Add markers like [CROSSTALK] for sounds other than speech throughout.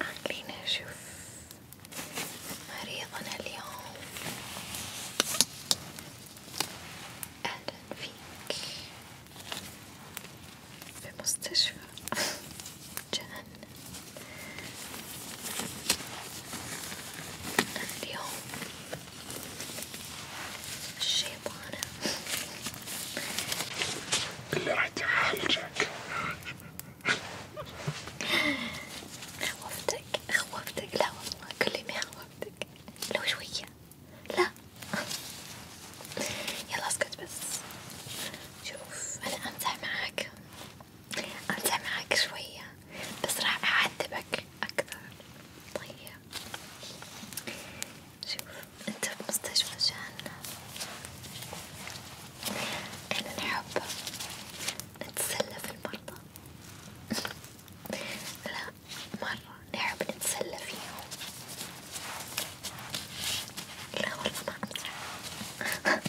خلينا نشوف مريضنا اليوم أهلا فيك بمستشفى [LAUGHS] جهنم اليوم الشيطانة اللي راح تعالجك خوفتك خوفتك لا والله كلمي خوفتك لو شوية لا يلا اسكت بس شوف انا امزح معاك أمزح معاك شوية بس راح أعذبك أكثر طيب شوف أنت في مستشفى جهنم أنا نحب نتسلى في المرضى [LAUGHS] لا مرة نحب نتسلى فيهم لا والله ما أمزح [LAUGHS]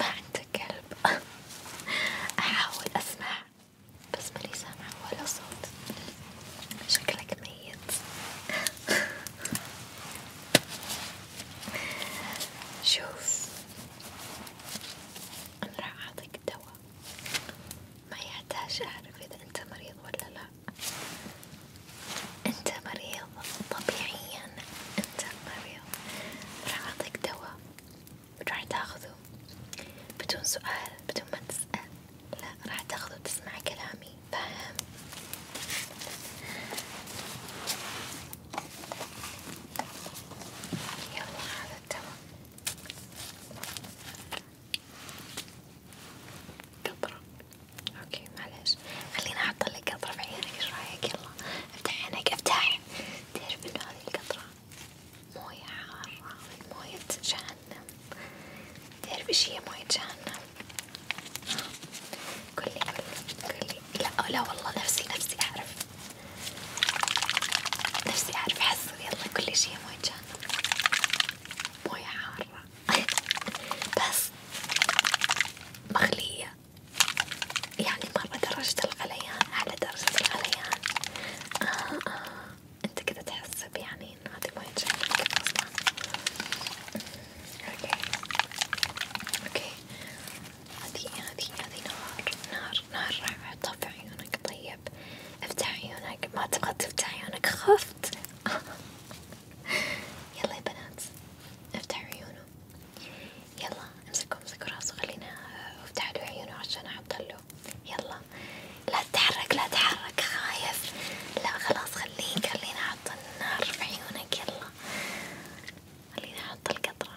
ما عندك كلب أحاول أسمع بس ماني سامعة ولا صوت شكلك ميت شوف أنا راح أعطيك دواء ما يحتاج أعرف إذا أنت مريض ولا لا، أنت مريض طبيعيا، أنت مريض، راح أعطيك دواء راح تاخذه بدون سؤال بدون ما تسأل، لا راح تاخذه تسمع كلامي، فاهم؟ يلا هذا تمام قطرة اوكي معلش خليني احطلك قطرة في عيونك ايش رايك يلا افتح عينك افتح تعرف انه هذي القطرة موية حارة من موية جهنم تعرف ايش هي موية جهنم؟ قولي قولي قولي لا لا والله نفسي نفسي أعرف نفسي أعرف حسوا يلا كل شي موية جانا موية حارة [LAUGHS] بس مخلية يعني مرة درجة الغليان على درجة الغليان آه آه انت كذا تحس يعني ان هذي موية جانا كذا اصلا اوكي اوكي هذي هذي هذي نار نار نار راح أحطها في عيونك طيب افتح عيونك ما تبغى تفتح عيونك خفت [LAUGHS] يلا يا بنات افتح عيونه يلا امسكوا امسكوا راسه خلينا آه، افتح له عيونه عشان احط له يلا لا تتحرك لا تتحرك خايف لا خلاص خليك خلينا احط النار في عيونك يلا خلينا احط القطرة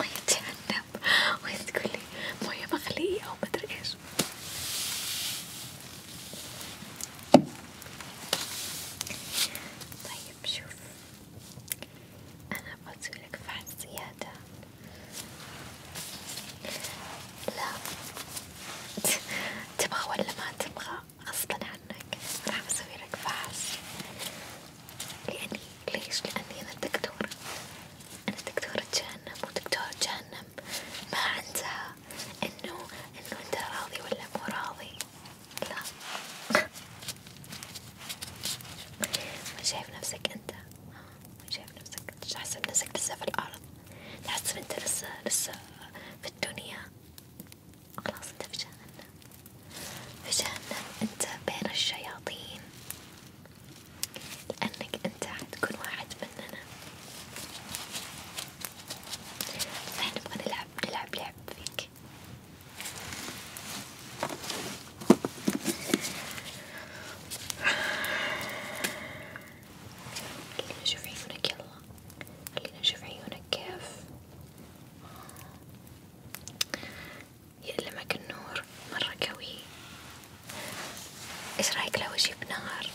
مية جهنم وهي تقولي مية مغلية أو مدري إيش طيب شوف أنا بسويلك فحص زيادة لا تبغى ولا ما تبغى غصبا عنك راح أسويلك فحص لأني يعني ليش؟ لأني أنا دكتورة، أنا دكتورة جهنم ودكتورة جهنم ما عندها إنه إنه أنت راضي ولا مو راضي، لا، ما شايف نفسك أنت، ما شايف نفسك، تحسب نفسك لسه في الأرض، تحسب أنت لسه لسه في الدنيا، خلاص أنت في جهنم. في جهنم أنت بين الشياطين لأنك أنت حتكون واحد مننا فإحنا نبغى نلعب نلعب لعب فيك خلينا نشوف عيونك يلا خلينا نشوف عيونك كيف يألمك النور مرة قوي ايش رايك لو اجيب نار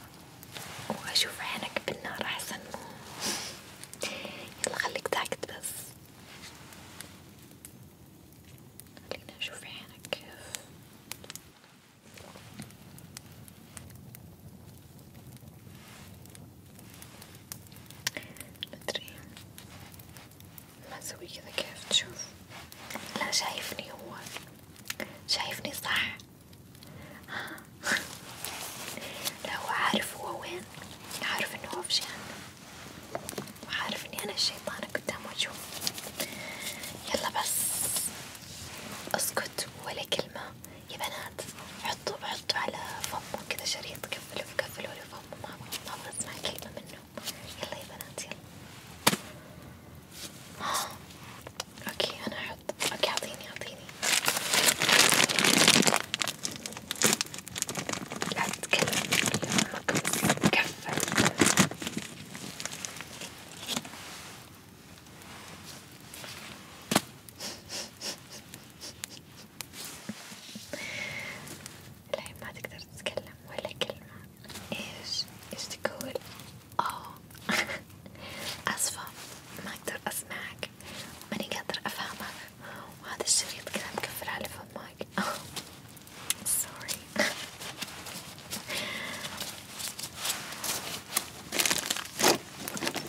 واشوف عينك بالنار احسن يلا خليك ساكت بس خلينا نشوف عينك كيف مدري ما أسوي كذا كيف تشوف لا شايفني هو شايفني صح ها [LAUGHS] لا هو عارف هو وين عارف إنه هو في جهنم وعارف إني أنا الشيطانة قدام وجهه يلا بس اسكت ولا كلمة يا بنات حطوا حطوا على فمه كذا شريط كفلوا كفلوا لفمه ما أبغى ما أبغى أسمع كلمة منه يلا يا بنات يلا اوكي انا احط اوكي اعطيني اعطيني لا تتكلم كفى الحين ما تقدر تتكلم ولا كلمة ايش ايش تقول اوه [LAUGHS] اسفة ما اقدر اسمعك ماني قادرة افهمك وهذا الشريط كذا مقفل على فمك سوري [LAUGHS] [LAUGHS]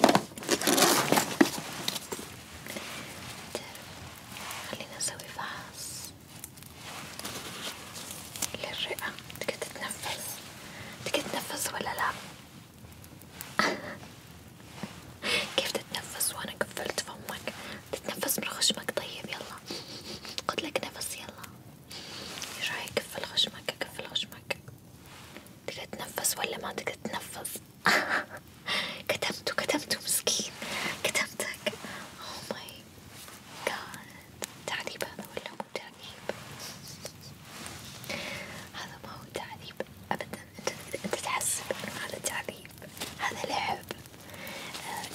خلينا نسوي فحص للرئة تقدر تتنفس تقدر تتنفس ولا لا؟ [LAUGHS] كيف تتنفس وانا قفلت فمك؟ تتنفس من خشمك طيب يلا خد نفس يلا ايش رايك قفل خشمك قفل خشمك تقدر تتنفس ولا ما تقدر تتنفس؟ [LAUGHS] كتمته كتمته مسكين كتمتك اوه ماي جاد تعذيب هذا ولا مو تعذيب؟ هذا ما هو تعذيب ابدا انت انت تحسب انه هذا تعذيب هذا لعب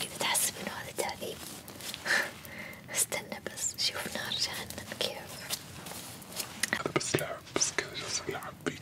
كذا آه، تحسب انه هذا تعذيب [LAUGHS] استنى بس شوف نار جهنم كيف بس لعب بس كذا جالس العب بيك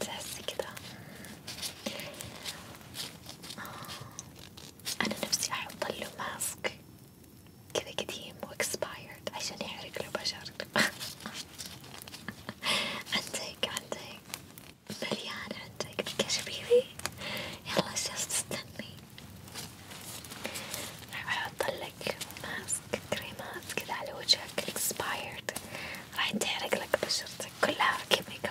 تحسي كده أنا نفسي أحط ماسك كذا قديم واكسبايرد عشان يحرق له [LAUGHS] عندك عندك مليان عندك كشبيبي يلا ايش تستني راح احط ماسك كريمات كذا على وجهك اكسبايرد راح تحرق بشرتك كلها كيميكال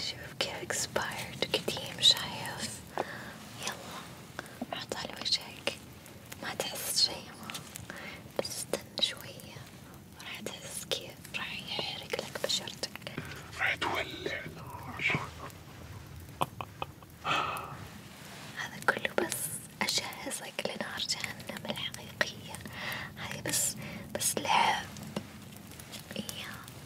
شوف كيف اكسبايرد قديم شايف يلا حط على وجهك ما تحس شي ما بس استنى شوية راح تحس كيف راح يحرق لك بشرتك راح تولع هذا كله بس أجهزك لنار جهنم الحقيقية هاي بس بس لعب إياه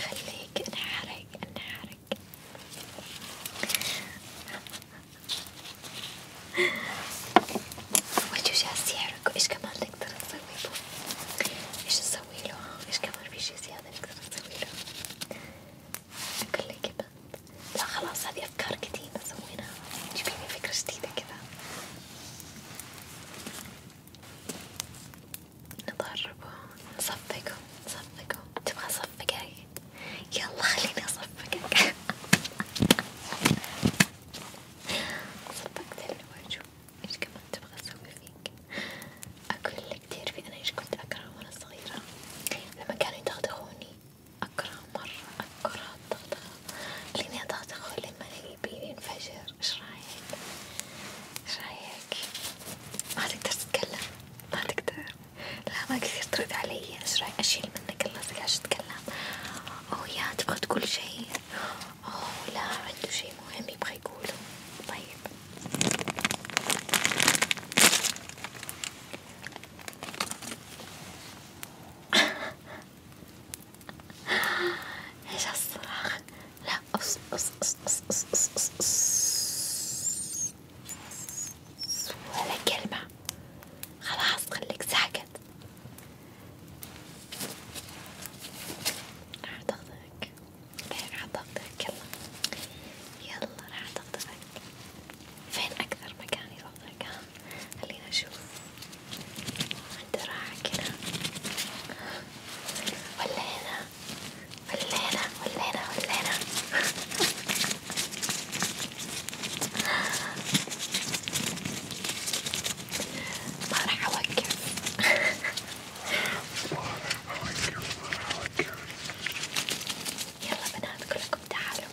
خليك انحرق انحرق وجهه جالس يحرق ايش كمان نقدر نسوي له؟ ايش نسوي له؟ ايش كمان في شي زيادة نقدر نسوي له؟ كله كده لا خلاص هذه افكار قديمة سويناها جيبي لي فكرة جديدة كذا نضربه نصفقه نصفقه تبغى اصفقك؟ يلا خليني اصفقك صفقت الوجه ايش كمان تبغى اسوي فيك؟ اقول لك تعرفي انا ايش كنت اكره وانا صغيرة لما كانوا يدغدغوني أكره مرة أكره الضغط لأني أضغط أخوي لما ألاقي بيبي ينفجر إيش رأيك؟ إيش رأيك؟ ما تقدر تتكلم ما تقدر لا ما كثير ترد علي إيش رأيك أشيل منك الله تقعدش تتكلم أو يا تبغى تقول شي أو لا عنده شي مهم يبغى يقوله طيب ايش الصراخ لا أص أص أص أص أص أص أص أص ولا كلمة خلاص خليك ساكت راح أضغطك راح أضغطك يلا يلا راح أضغطك فين أكثر مكان يفضل كان؟ خلينا نشوف عنده راحة كذا ولا هنا ولا هنا ولا هنا ولا هنا [LAUGHS] ما راح أوقف ما راح أوقف ما راح أوقف يلا بنات كلكم تعالوا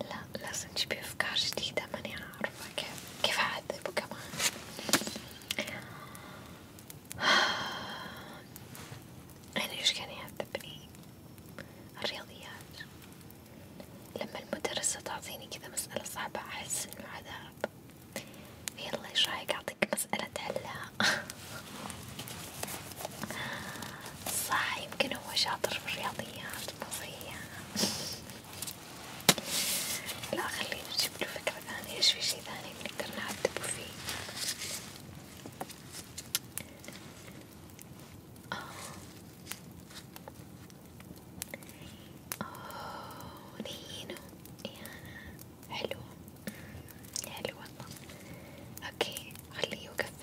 لا لازم تجيبي أفكار جديدة ماني عارفة كيف كيف أعذبه كمان [SIGHS] أنا إيش كان يعذبني الرياضيات لما المدرسة تعطيني كذا مسألة صعبة أحس إنه عذاب يلا إيش رأيك أعطيك مسألة تحلها [LAUGHS] صح يمكن هو شاطر في الرياضيات مضيع لا خلينا نجيب له فكرة ثانية ايش في شي ثاني نقدر نعذبه فيه أوه. أوه. نينو إيانا حلوة حلوة والله اوكي خليه يوقف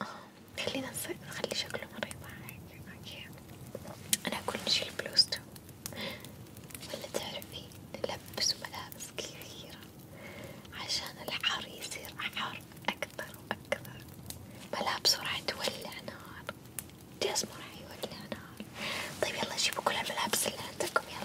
آه، خلينا نصير نخلي شكله مريض هيك اوكي انا اكون نشيل بلوزته ولا تعرفي نلبس ملابس كثيرة عشان الحر يصير حار اكثر واكثر ملابسه راح تولع نار جسمه راح يولع نار طيب يلا جيبوا كل الملابس اللي عندكم يلا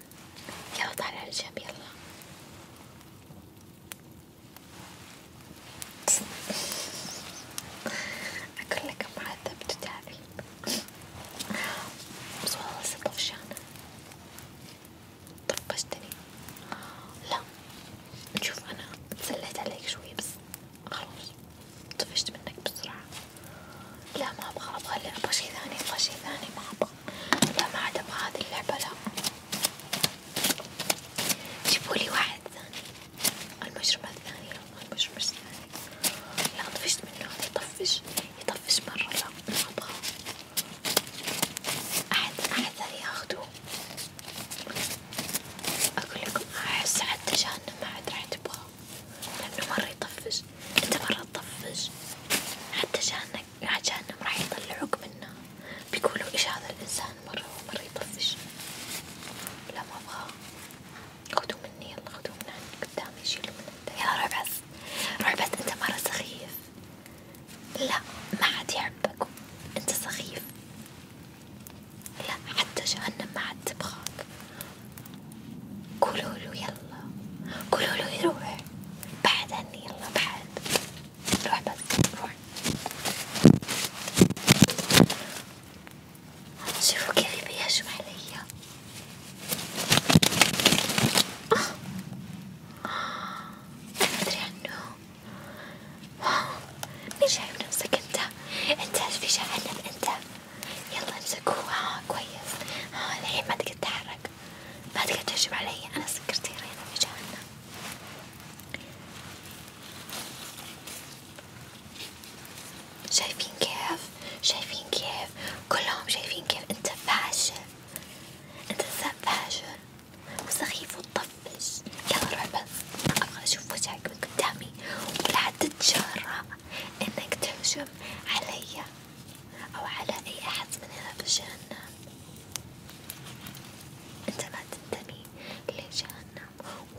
بعدين يلا تعال على يلا أقول لك معذب تتعبي بس والله لسه طفشانة طفشتني لا شوف أنا تسليت عليك شوي بس خلاص طفشت منك بسرعة لا ما أبغى شي ثاني أبغى شي ثاني ما لا ما عاد ابغى هذي اللعبة لا جيبولي واحد ثاني المشروب الثاني لا المشروب لا طفشت منه يطفش يطفش مرة لا ما ابغى احد احد ثاني اقول لكم احس حتى جهنم ما عاد راح تبغاه لانه مرة يطفش انت مرة تطفش حتى جهنم مع يعني جهنم راح يطلعوك منه بيقولوا ايش هذا الانسان مرة مرة يطفش لا ما ابغاه خذوه مني يلا خذوه من عندي قدامي شيلوا من عندي يلا روح بس روح بس انت مرة سخيف لا ما حد يحبك انت سخيف لا حتى جهنم ما حد تبغاك قولوا له يلا يلا قولوا له يروح بعد عني يلا بعد روح بس روح شوفوا كيف بيهجم علي أنا مدري عنه واو مين شايف نفسك انت انت في جهنم انت يلا امسكوها آه، كويس ها آه، الحين ما تقدر تتحرك بعد كده تهجم علي أنا سكرتيرة هنا في جهنم شايفين كيف شايفين كيف كلهم شايفين كيف أنت فاشل أنت ذاب فاشل وسخيف وتطفش يلا روح بس أبغى أشوف وجهك من قدامي ولا حتى تتجرأ إنك تهجم علي أو على أي أحد مننا في جهنم أنت ما تنتمي لجهنم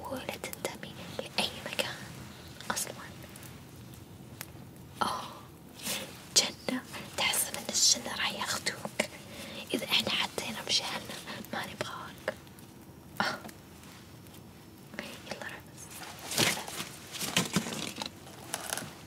ولا تنتمي لأي مكان أصلا أوه جنة تحسب أن الجنة راح ياخدوك إذا إحنا حطينا بجهنم ما نبغاك آه. يلا ربس